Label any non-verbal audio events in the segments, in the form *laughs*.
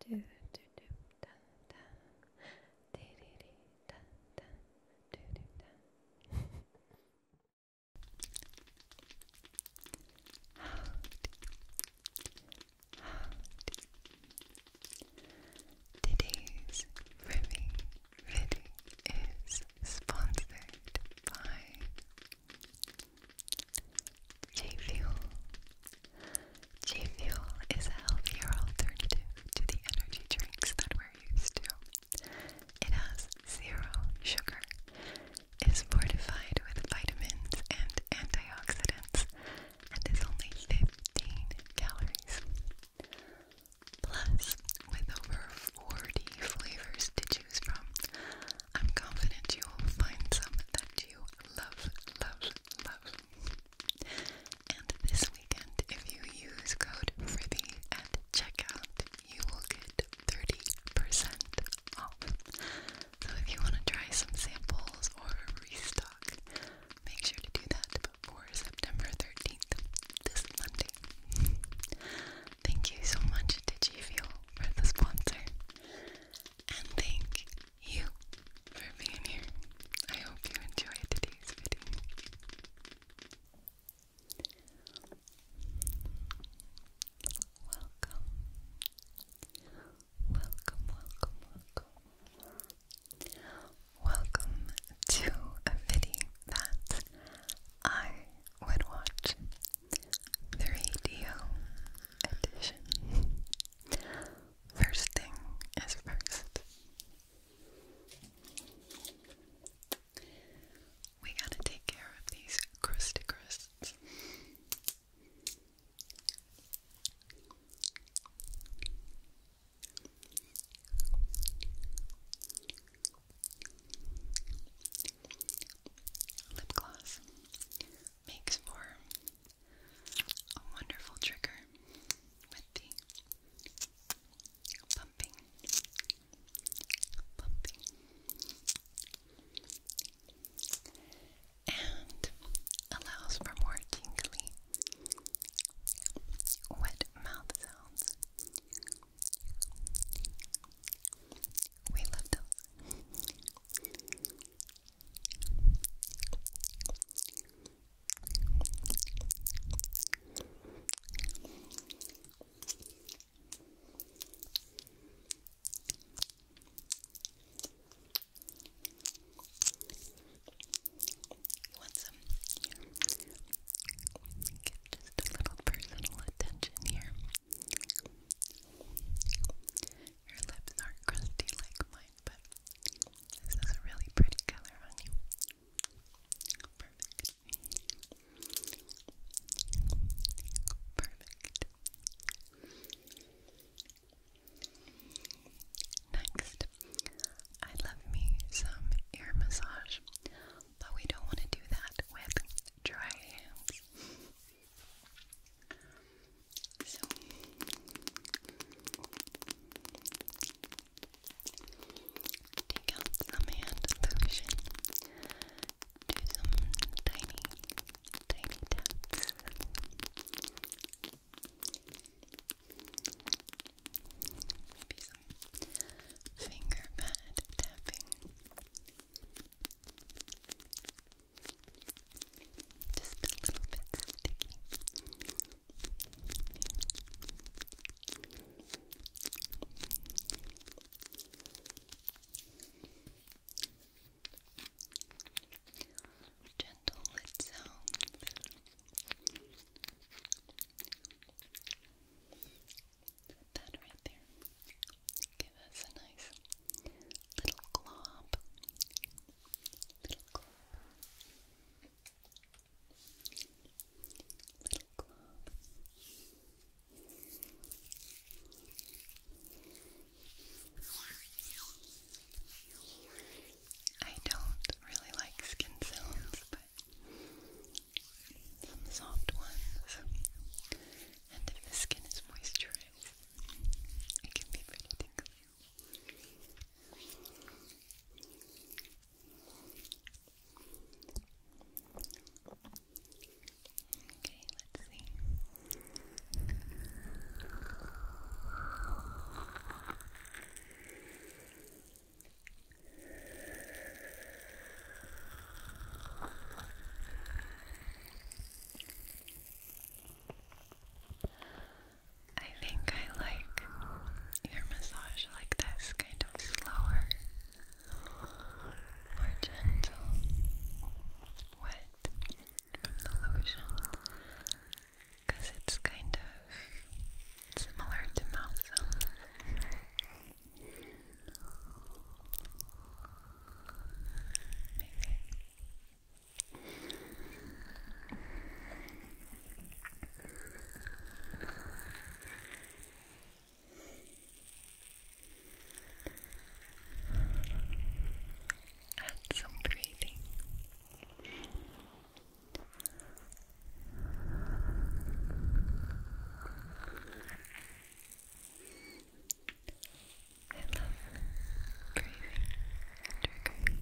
do do do da da dee dee dee da da do do da Today's ribbing video is sponsored by J Fuel. J Fuel is a healthier alternative to the energy drinks that we're used to. It has zero sugar, is fortified with vitamins and antioxidants, and is only 15 calories. Plus, with over 40 flavors to choose from, I'm confident you will find some that you love, love, love. And this weekend, if you use code FRIBBY at checkout, you will get 30% off. So if you want to try some samples or restock, make sure to do that before September 13th, this Monday. Thank you so much to G Fuel for the sponsor and thank you for being here. I hope you enjoyed today's video. Welcome. Welcome, welcome, welcome. Welcome to a video that I would watch. The radio edition. First thing is first. We gotta take care of these crusty crusts. Lip gloss makes for a wonderful trigger with the pumping, pumping, and allows for more tingly, wet mouth sounds. We love those. You want some? just a little personal attention here. Your lips aren't crusty like mine, but this is a really pretty color on you. Perfect. Perfect. Next, I love me some ear massage, but we don't want to do that with dry hands. So take out some hand lotion. Do some tiny, tiny taps. Maybe some finger pad tapping. Just a little bit sticky. Gentle lid sounds. Put that right there. Give us a nice Little glob. Little glob. Little glob. I don't really like skin sounds, but some soft ones. And if the skin is moisturized, it can be pretty tingly. Okay, let's see. I think I like your massage like this, kind of slower, more gentle, wet from the it's kind of similar to mouth and some breathing. I love breathing trigger. Breathing is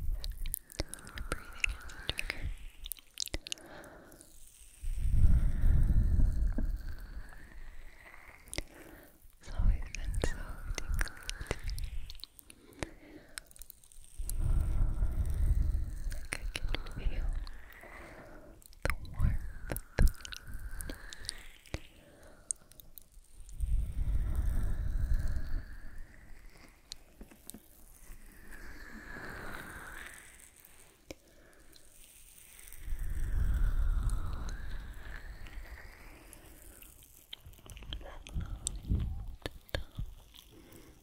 It's always been so tingly. Like I can feel the warmth. Closer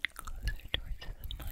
towards the mic.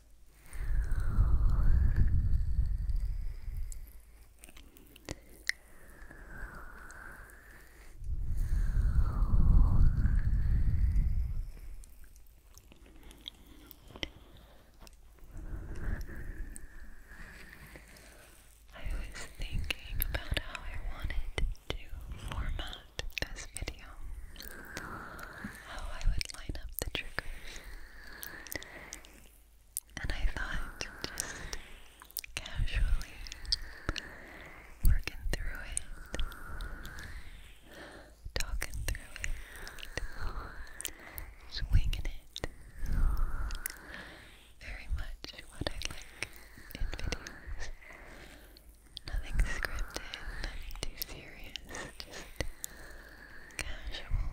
I was thinking about how I wanted to format this video how I would line up the trigger, And I thought casually working through it, talking through it, swinging it. Very much what I like in videos. Nothing scripted, nothing too serious, just casual,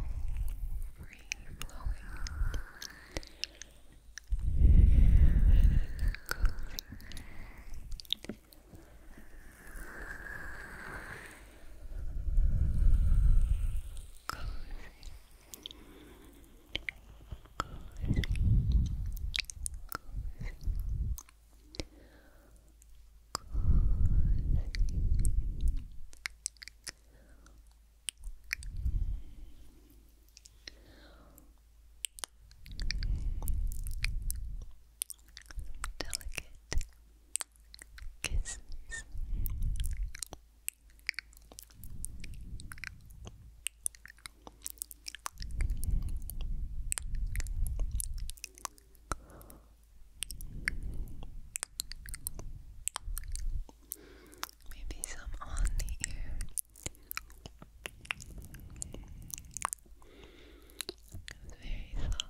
free-flowing, cozy. Cozy. Cozy. Cozy. Delicate kisses. Delicate Maybe some on the ear. It's very soft.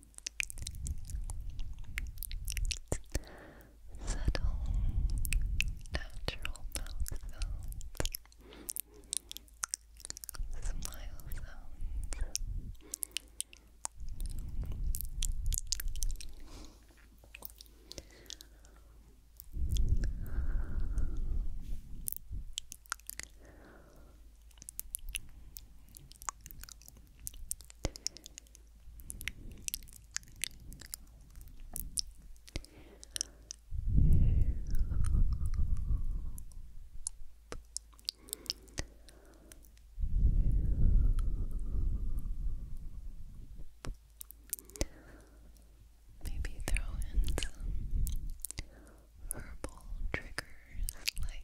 Subtle, natural mouth smile sounds. Maybe throw in some herbal triggers like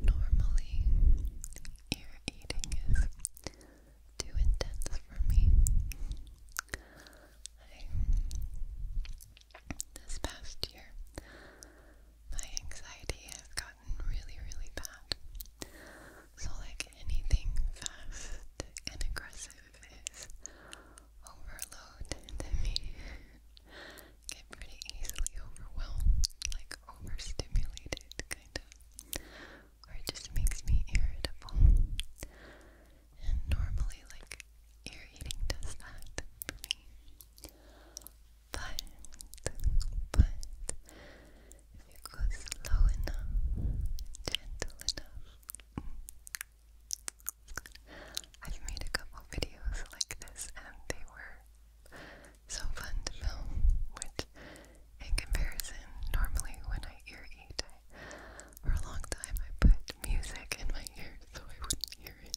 Normally, ear eating is too intense for me. this past year, my anxiety has gotten really, really bad. So, like anything fast and aggressive is overload to me get pretty easily overwhelmed, like overstimulated, kind of, or it just makes me irritable. And normally, like, ear eating does that for me. But, but, if you go slow enough, gentle enough, I've made a couple videos like this and they were so fun to film, which in comparison, normally when I ear eat, for a long time I put music in my ears so I wouldn't hear it.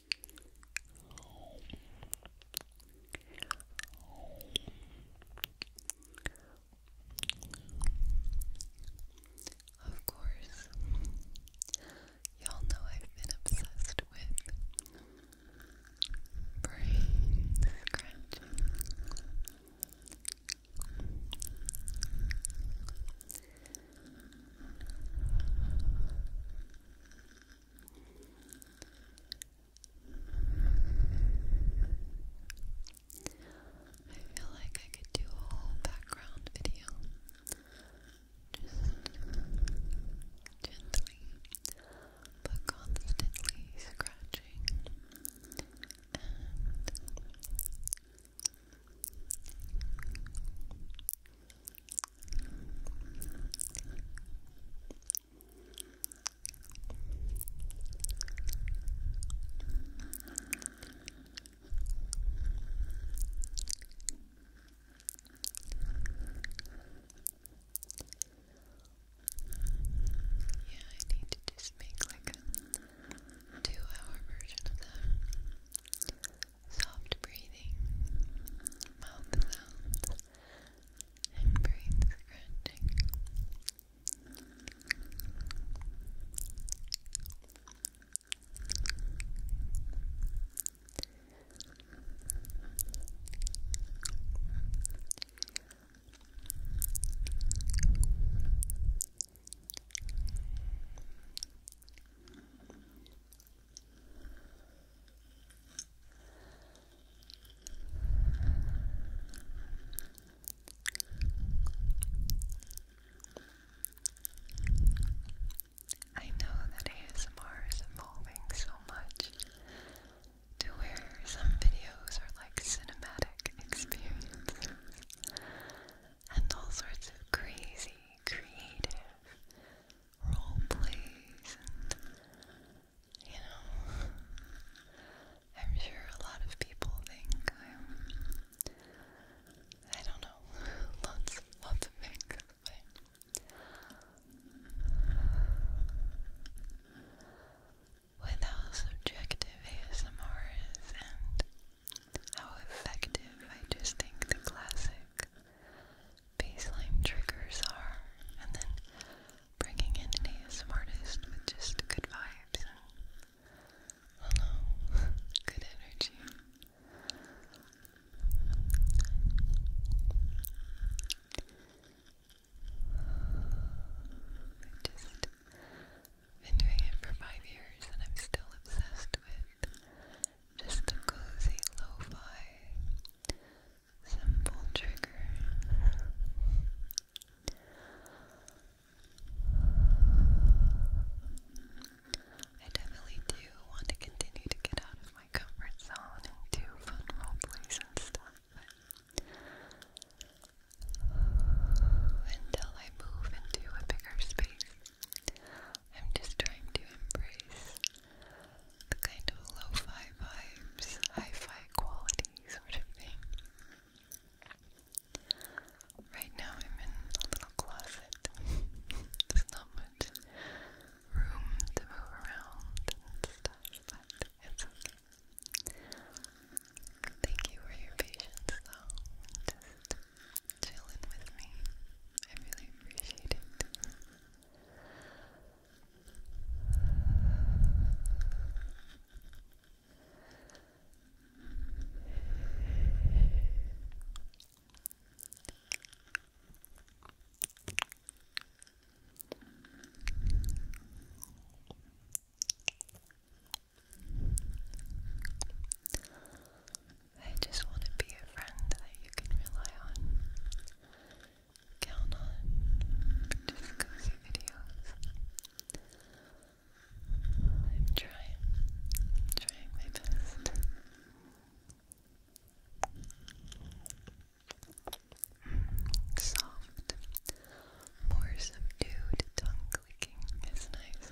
Of course, y'all know I've been obsessed with brain scratching. I feel like I could do a whole background video just gently but constantly scratching yeah, I need to just make like a two hour version of that. Soft breathing, mouth sounds, and brain scratching. I know that ASMR is evolving so much to where some videos are like cinematic experiences and all sorts of crazy, creative, role plays you know I'm sure a lot of people think I'm I don't know, lots lots of things, but how subjective ASMR is and how effective I just think the classic baseline triggers are, and then bringing in an ASM artist with just good vibes and, hello, *laughs* good energy. I've just been doing it for five years and I'm still obsessed with just cozy lo simple trigger. I definitely do want to continue to get out of my comfort zone and do fun role plays and stuff, but until I move into a bigger space, I'm just trying to embrace the kind of lo-fi vibes, hi-fi quality sort of thing. Right now I'm in a little closet. *laughs* There's not much room to move around and stuff, but Thank you for your patience though. Just chilling with me. I really appreciate it. I just want to be a friend that you can rely on count on just videos. I'm trying, trying my best. Soft, more subdued tongue clicking is nice.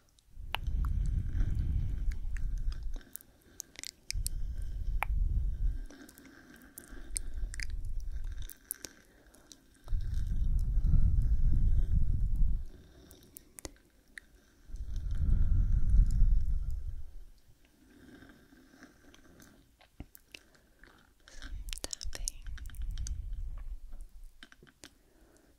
Some tapping.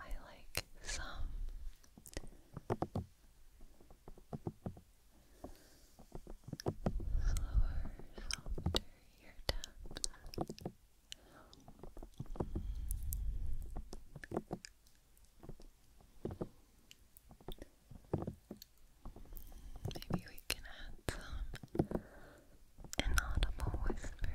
I like some slower, softer ear taps. Maybe we can add some inaudible whispers.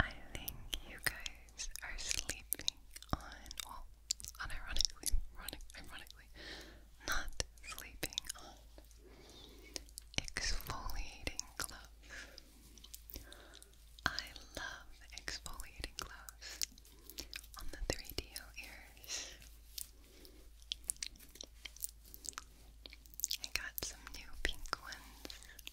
I think you guys are sleeping on, well, unironically, ironic, ironically, not sleeping on exfoliating gloves. I love exfoliating gloves on the 3DO ears. got some new pink ones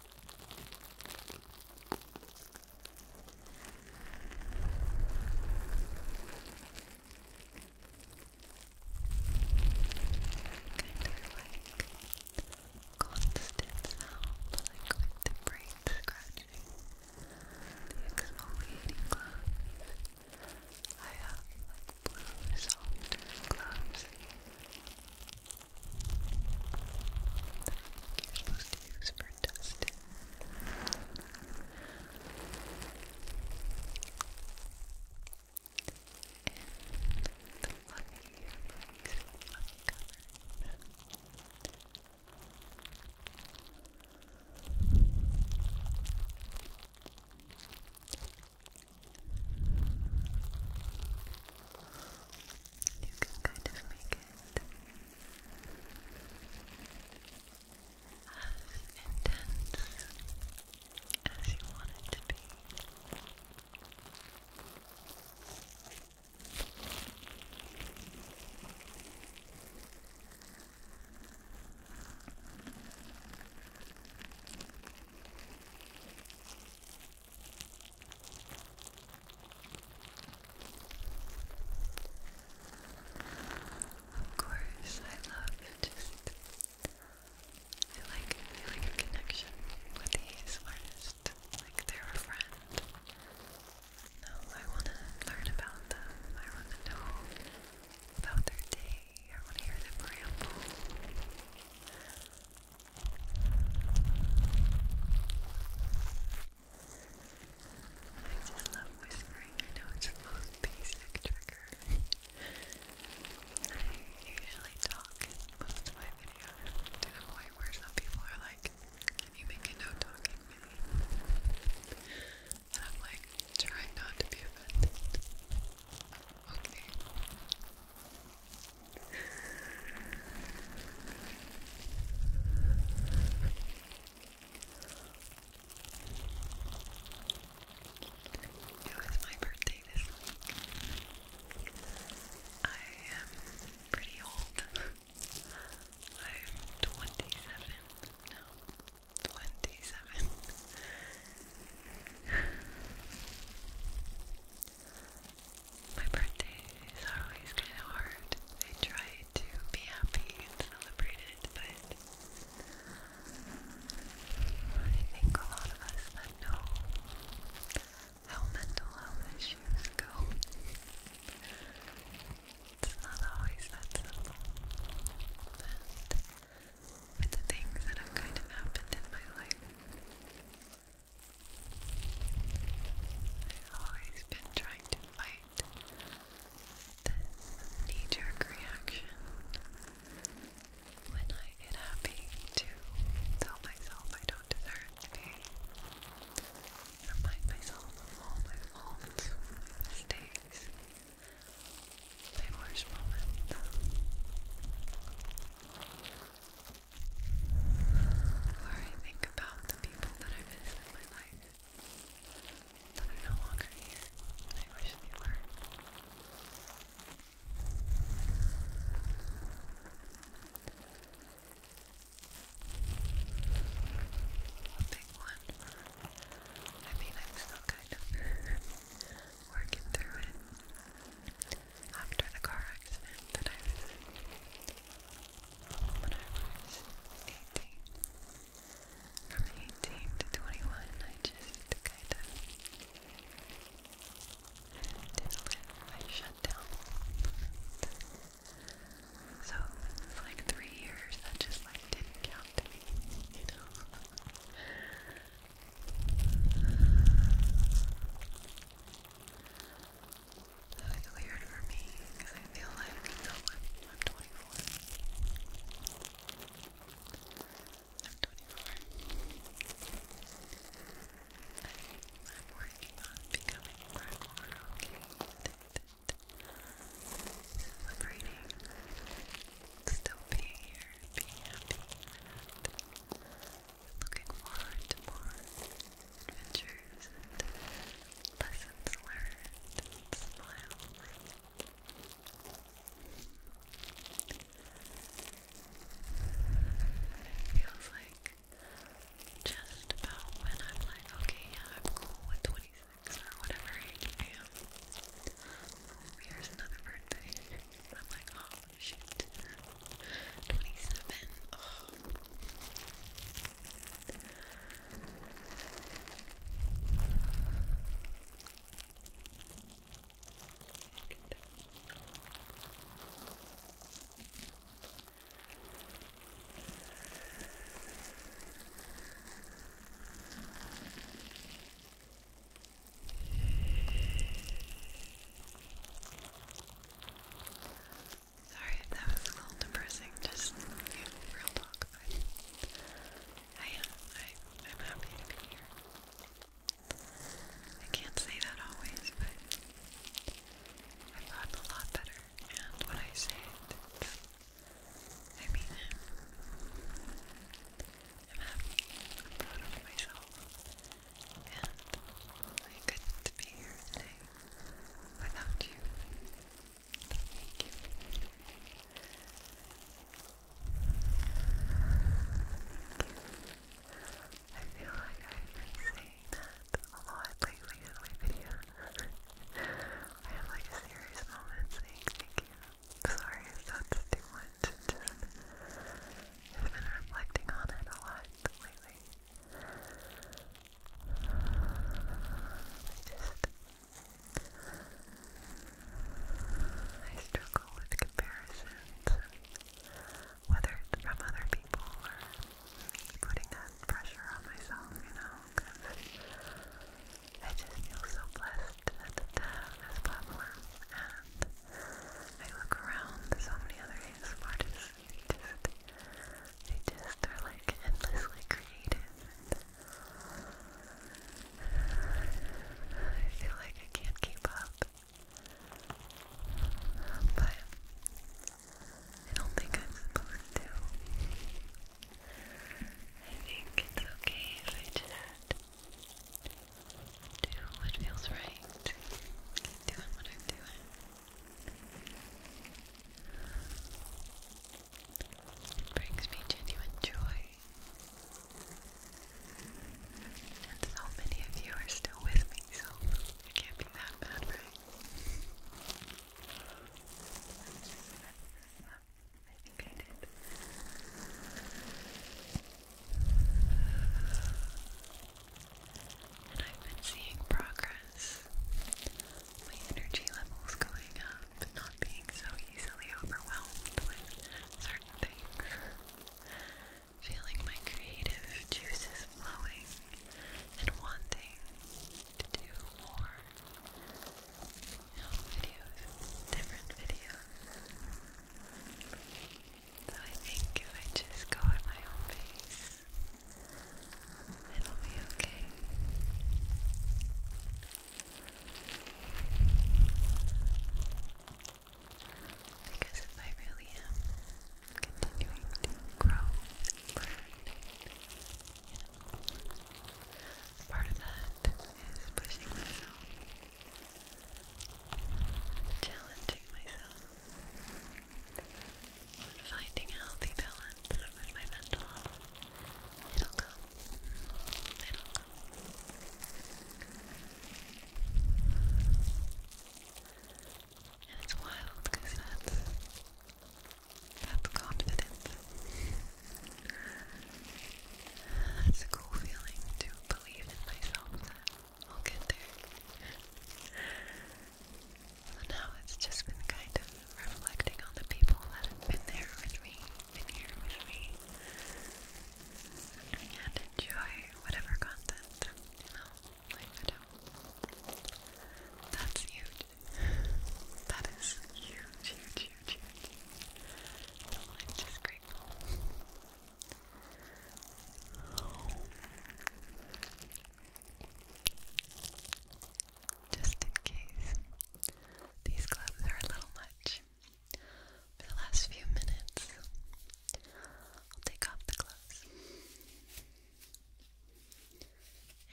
constant sound, like with the brain scratching, the exfoliating gloves. I have like blue soft gloves you're supposed to use for dusting. And the lucky earbuds, lucky cover. You can kind of make it as intense as you want it to be. Now of course, I love just I like feeling a connection with these artists, like they're a friend. No, I want to learn about them. I want to know about their day. I want to hear them ramble. I love whispering. I know it's the most basic trigger. I usually talk most of my videos to the point where some people are like, Can you make a no talking I'm like, Try not to be offended. Okay. It was my birthday this week. I am pretty old. *laughs* I'm 27 now. 27. *laughs* My birthday is always kind of hard. I try to be happy and celebrate it, but I think a lot of us know how mental health issues go, it's not always that simple. But with the things that have kind of happened in my life, I've always been trying to fight this knee jerk reaction when I get happy to tell myself I don't deserve to Remind myself of all my faults, mistakes, my moments. Or I think about the people that I miss in my life that are no longer here. I wish they were. A one. I mean, I'm still kind of *laughs* working through it after the car accident that I was 18. From 18 to 21, I just kind of did I shut down. So it like three years that just like didn't count you know. It's weird for me because I feel like I'm, I'm 24. I, am 24 i am working on becoming more okay. Celebrating, still being here, being happy, Looking forward to more adventures and lessons learned and It feels like just about when I'm like, okay, yeah, I'm cool with 26 or whatever age I am. Here's another birthday. *laughs* I'm like, oh, Shoot. 27. Okay. Oh. Sorry if that was a little depressing, just real talk, but I am, I, I'm happy to be here. I can't say that always, but I've gotten a lot better, and when I say it, I mean it. I'm happy, I'm proud of myself and I couldn't be here today without you. Thank you. I feel like I've been saying that a lot lately in my videos. I have like a serious moment saying thank you. Sorry if that's too much just, i been reflecting on it a lot lately. I just, I struggle with comparisons, whether it's from other people or putting that pressure on myself, you know, because I just feel so blessed to have this platform and I look around, there's so many other artists, they just, they just are like endlessly creative, *sighs* I feel like I can't keep up, but I don't think I'm supposed to. I think it's okay if I just do what feels right. doing what I'm doing. brings me genuine joy. And so many of you are still with me, so it can't be that bad, right? I think I did. And I've been seeing progress. My energy levels going up, not being so easily overwhelmed with certain things. Feeling my creative juices flowing and wanting to do more. You videos, different videos. So I think if I just go at my own pace, it'll be okay. Because if I really am continuing to grow part of that is pushing myself challenging myself finding a healthy balance with my mental It'll come. It'll come. And it's wild because that's that's confidence. That's a cool feeling to believe in myself I'll get there. For now, it's just been kind of reflecting on the people that have been there with me, been here with me, and enjoy whatever content, you I do. That's huge. That is huge, huge, huge, huge. I'm just grateful. Just in case these gloves are a little much, for the last few minutes, I'll take off the gloves.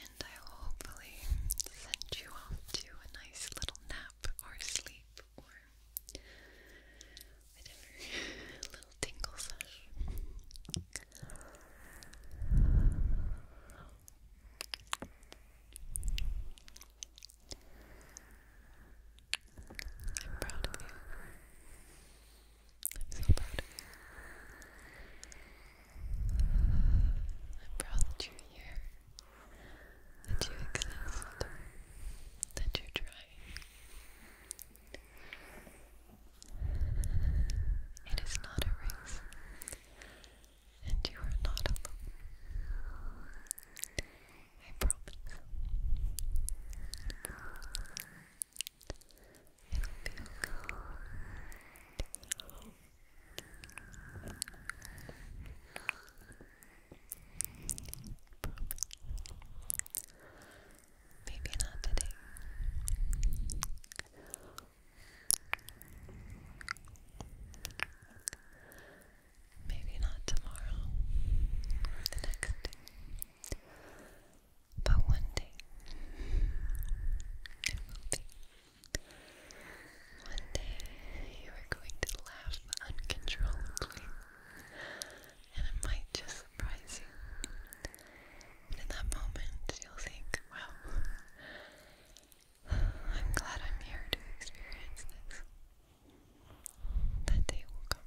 And I will hopefully send you off to a nice little nap or sleep whatever *laughs* little tingle slash I'm proud of you. I'm so proud I'm proud that you here that you exist, that you try. It is not a race, and you are not alone. I promise. It'll be okay. Maybe not today. Maybe not tomorrow or the next But one day it will be. One day you are going to laugh uncontrollably and it might just surprise you. in that moment, you'll think, wow, I'm glad I'm here to experience this. That day will come.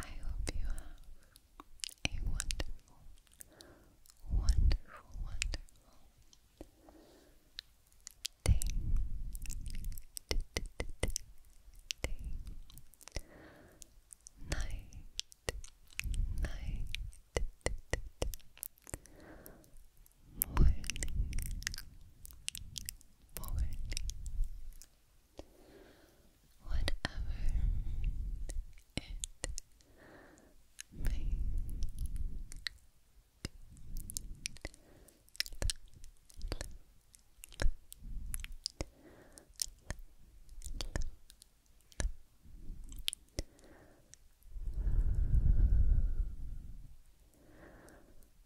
I hope you have a wonderful, wonderful, wonderful day. Night. Night. Morning. Morning whatever it may